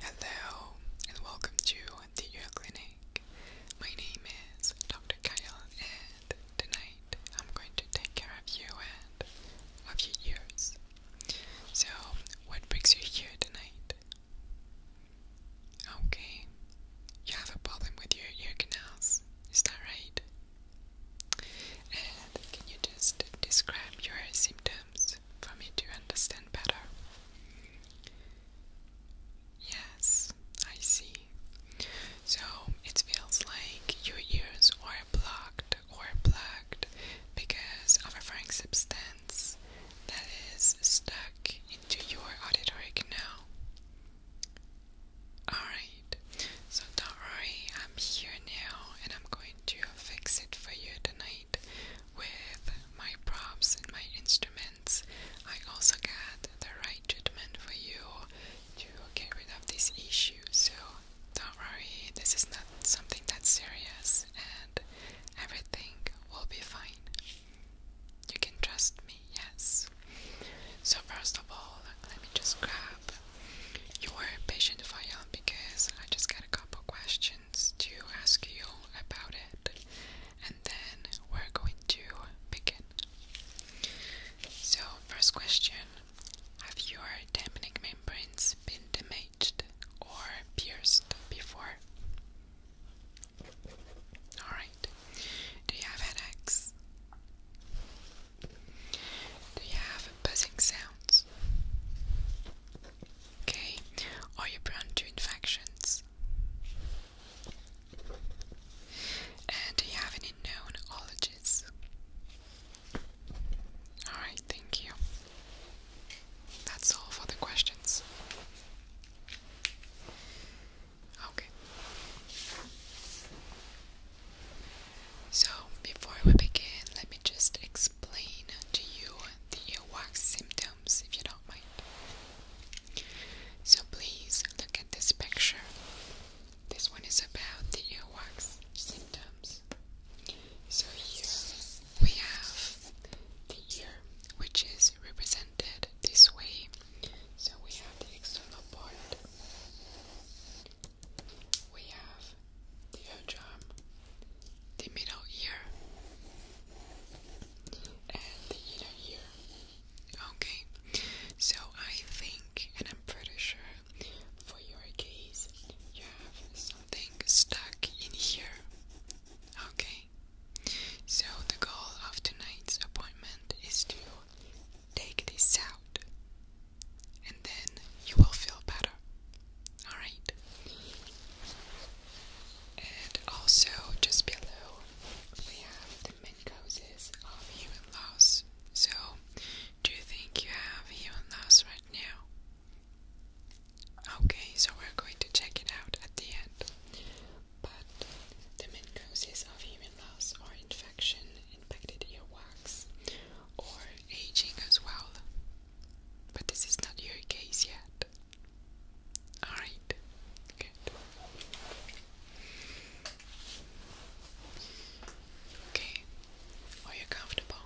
Hello and welcome to the Clinic. My name is Dr. Kyle, and tonight I'm going to take care of you and of your ears. So, what brings you here tonight? Okay, you have a problem with your ear canals, is that right? And can you just describe your symptoms for me to understand better? Yes, I see. So it feels like your ears are blocked or plugged because of a referring substance that is stuck into your auditory canal. Alright, so don't worry, I'm here now and I'm going to fix it for you tonight with my props and my instruments. I also got the right treatment for you to get rid of this issue. So don't worry, this is not something that's serious and everything will be fine. You can trust me, yes. So, first of all, let me just grab your patient file because I just got a couple questions to ask you about it, and then we're going to begin. So, first question Have your tympanic membranes been damaged or pierced before? Alright. Do you have headaches? Do you have buzzing sounds? Okay. Are you prone to infections? And do you have any known ologies? Alright, thank you. That's all for the questions. Okay. So, before we begin, let me just explain to you the earwax symptoms if you don't mind. So please look at this picture. This one is about the earwax symptoms. So here we have the ear, which is represented this way. So we have the external part, we have the eardrum, the middle ear, and the are here. Okay, so I think, and I'm pretty sure, for your case, you have something stuck in here. Okay, so the goal of tonight's appointment is to take this out, and then you will feel better. Alright? And also, just below, we have the main causes of human loss. So, do you think you have human loss right now? Okay, so we're going to check it out at the end. But the main causes of human loss are infection, infected earwax, or aging as well. But this is not your case yet. Alright, good. Okay, are you comfortable?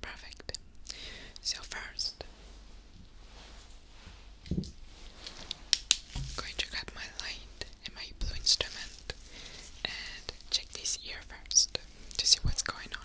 Perfect. So, first, I'm going to grab my light and my blue instrument and check this ear first to see what's going on.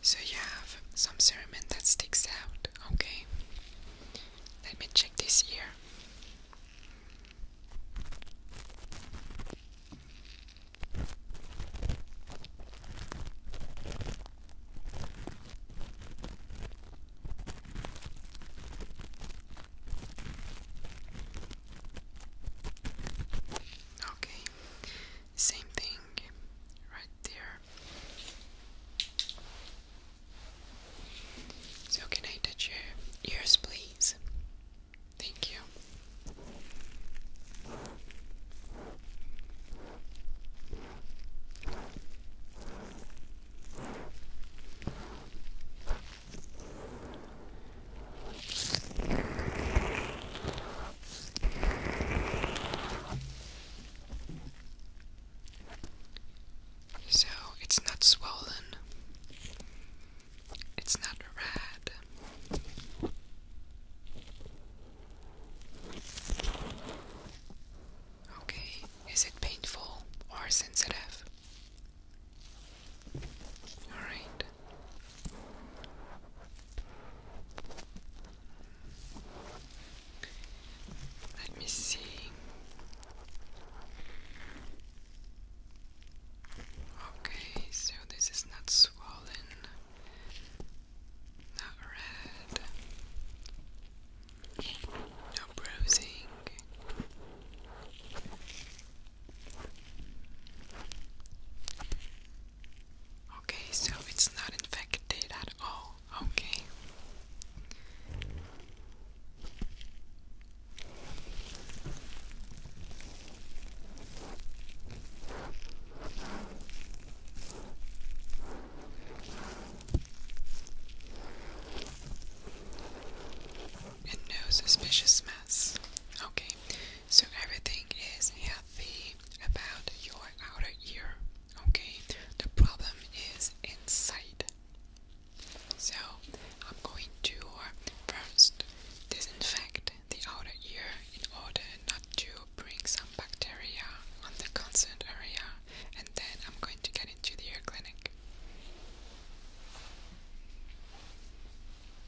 so you have some cerament that sticks out, okay? Let me check this here. Okay, same thing right there. So, can I touch your ears, please? Thank you. So it's not swollen, it's not red. Okay, is it painful or sensitive? Alright. Let me see. Okay, so this is not swollen, not red, no bruising. Okay, so it's not infected at all. Okay. no suspicious mess. Okay, so everything is healthy about your outer ear. Okay, the problem is in sight. So I'm going to uh, first disinfect the outer ear in order not to bring some bacteria on the concerned area, and then I'm going to get into the ear clinic.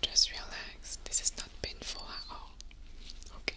Just relax. This is not painful at all. Okay.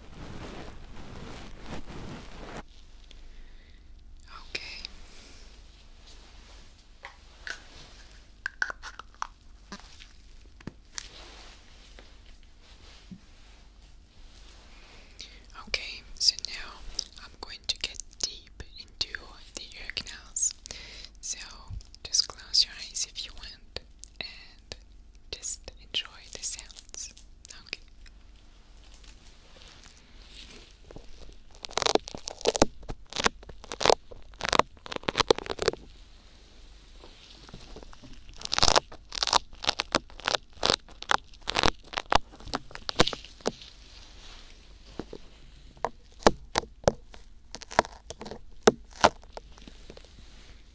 Okay. Okay, so now I'm going to get deep into the ear canals. So just close your eyes if you want just enjoy the sounds. Okay.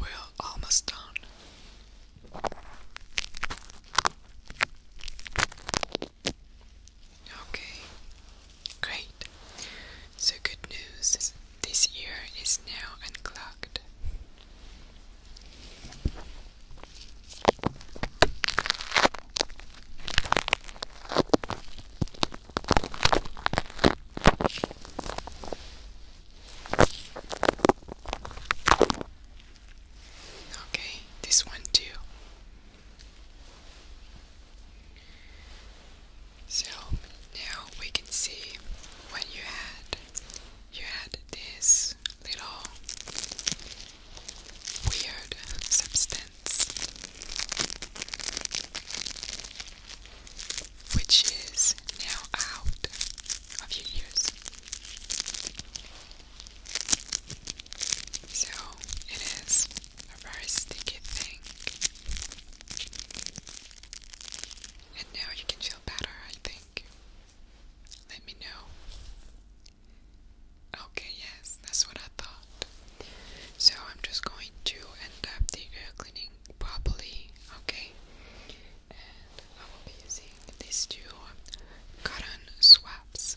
We're almost done. Okay, great. So, good news this ear is now unclogged. Okay, this one too. So now we can see what you had. You had this little weird substance, which is now out of your use. So it is a very sticky thing. And now you can feel better, I think. Let me know. Okay, yes, that's what I thought. So I'm just going to end up the ear cleaning properly, okay? And I will be using these two cotton swabs.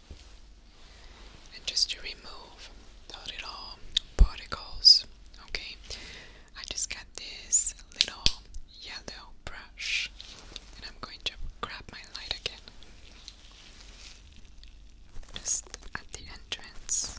and just to remove the particles. Okay, I just got this little yellow brush, and I'm going to grab my light again. Just at the entrance.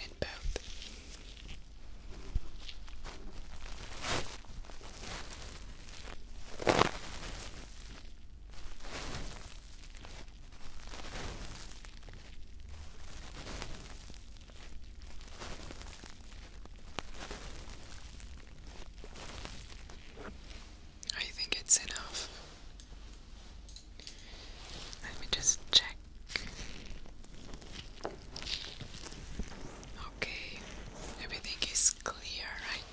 and both. I think it's enough. Let me just check. Okay, everything is clear,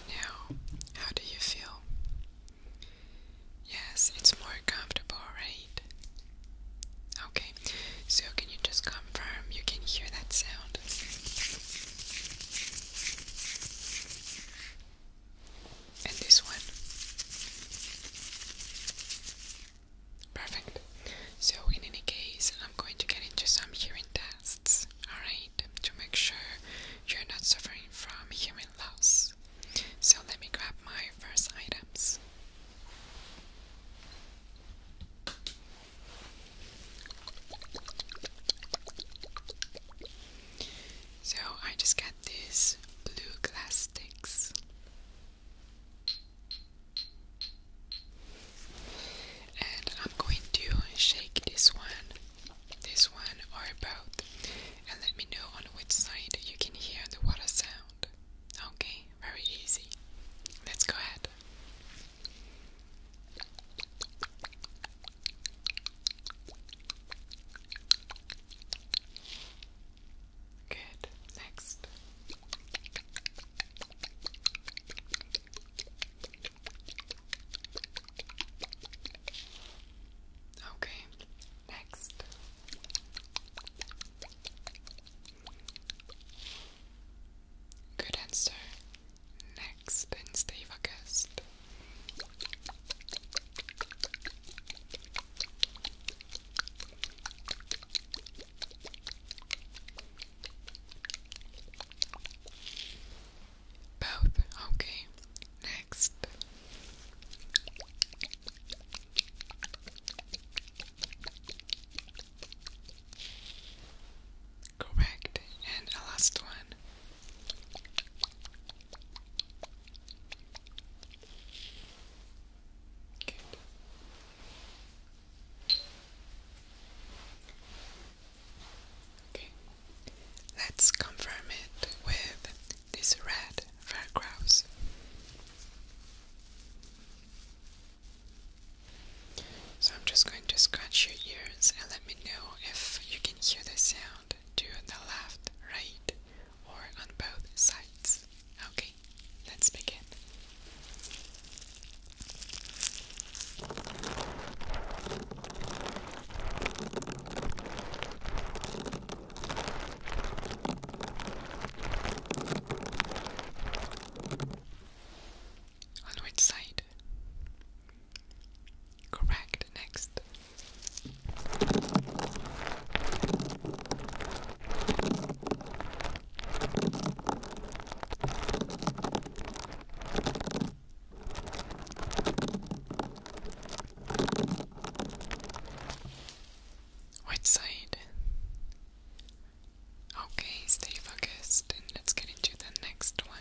now. How do you feel? Yes, it's more comfortable, right? Okay, so can you just confirm you can hear that sound? And this one? Perfect. So, in any case, I'm going to get into some hearing tests tests, alright, to make sure you're not suffering from human loss. So let me grab my first items. So I just got these blue glass sticks. And I'm going to shake this one, this one, or both, and let me know on which side you can hear the water sound. Okay, very easy. Let's go ahead. Good. Next. Okay, next. Good answer. Next and stay focused. Both. Okay. Next. Correct. And a last one. Good. Okay. Let's confirm it with this red Faircrouse. So I'm just going to scratch your ears and let me know if you can hear the sound to the left, right, or on both sides. Okay, let's begin which side? Correct. Next. White side? Okay, stay focused and let's get into the next one.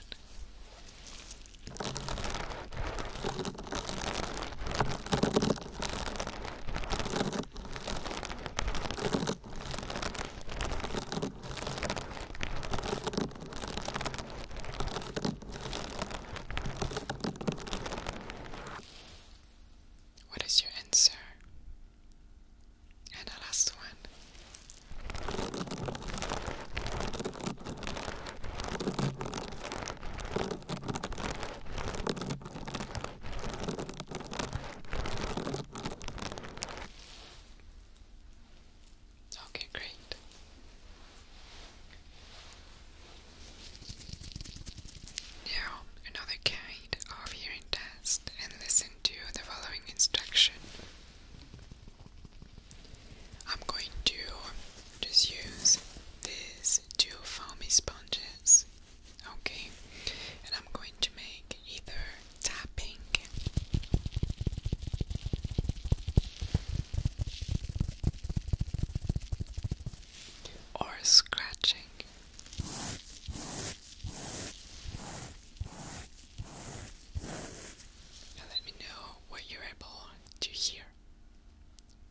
What is your answer? And the last one. Okay, great. Now, another kind of hearing test, and listen to the following instruction. I'm going to just use these two foamy sponges, okay? And I'm going to make either tapping. Or scratching. let me know what you're able to hear.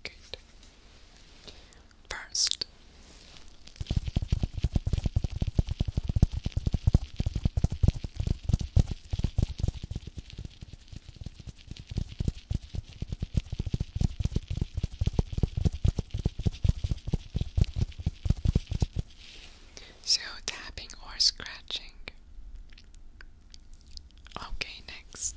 Good. First, so tapping or scratching. Okay, next.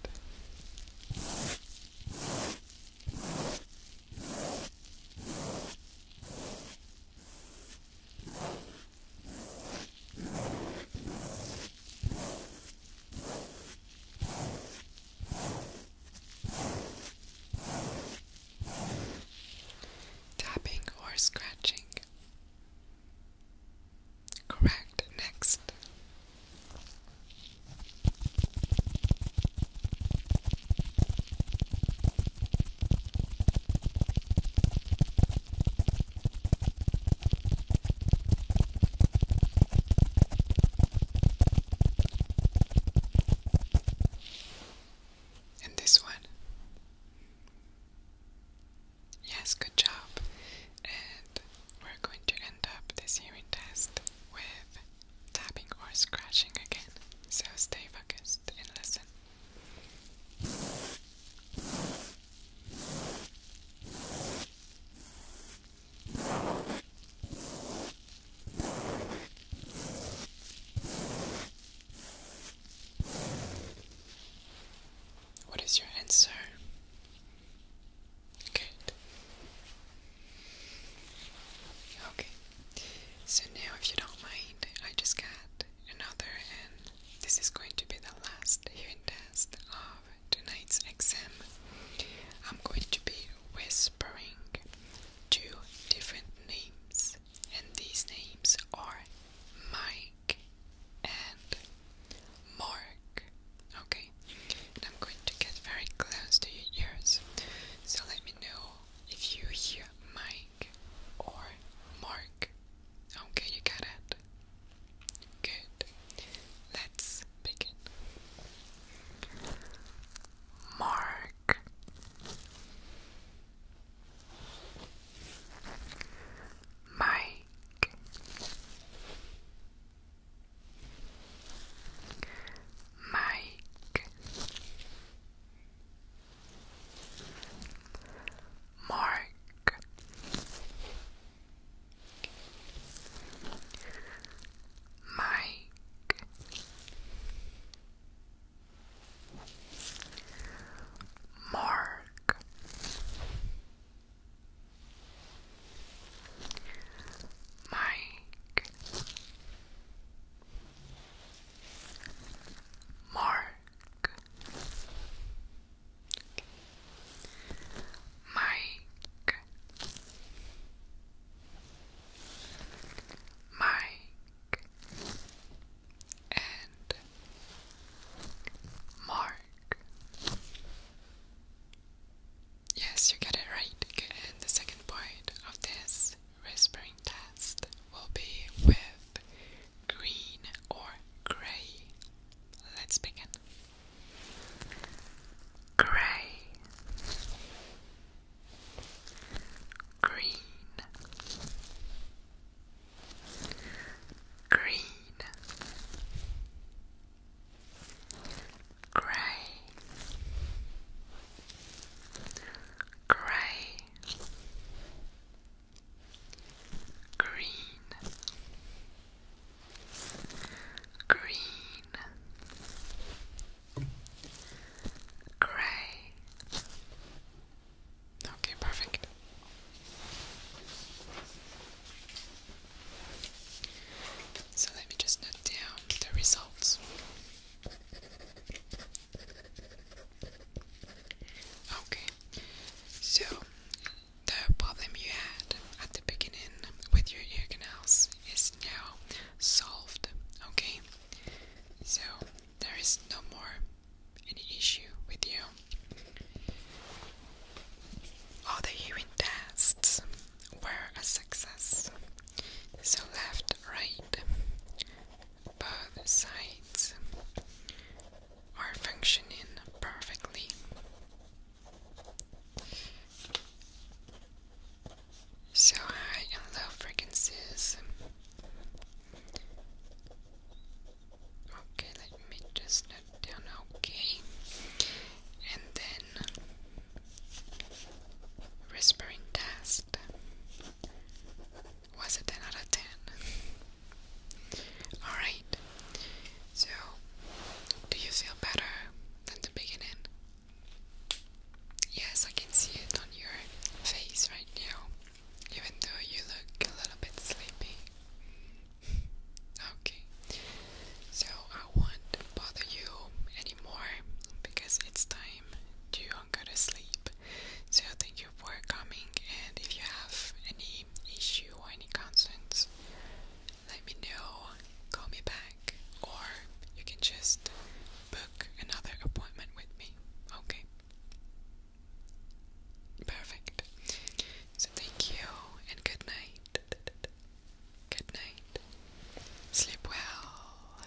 Tapping or scratching. Correct. Next. And this one. Yes, good job. And we're going to end up this hearing test with tapping or scratching again, so stay focused and listen. What is your answer? Good. Okay. So now, if you don't mind, I just got another, and this is going to be the last hearing test of tonight's exam. I'm going to be whispering two different names, and these names are Mike and Mark. Okay, and I'm going to get very close to your ears. So let me know if you hear Mike or Mark. Okay, you got it. Good. Let's begin. Mark. Mike. Mike. Mark Mike Mark Mike Mark Mike Mike and Mark Yes, you get it right. And the second point of this whispering test will be with green or grey. Let's begin. Grey, green, green, grey, grey, green, green, grey. Okay, perfect. So let me just note down the results. Okay, so the problem you had at the beginning with your ear canals is now solved, okay? So there is no more any issue with you. All the hearing tests were a success. So left right. Both sides are functioning perfectly. So high and low frequencies. Okay, let me just note down okay. And then Whispering test was a 10 out of 10. Alright, so do you feel better than the beginning? Yes, I can see it on your face right now, even though you look a little bit sleepy. Okay, so I won't bother you anymore because it's time time to go to sleep. So thank you for coming and if you have any issue or any concerns, let me know, call me back, or you can just book another appointment with me, okay? Perfect. So thank you and good night. Good night. Sleep well.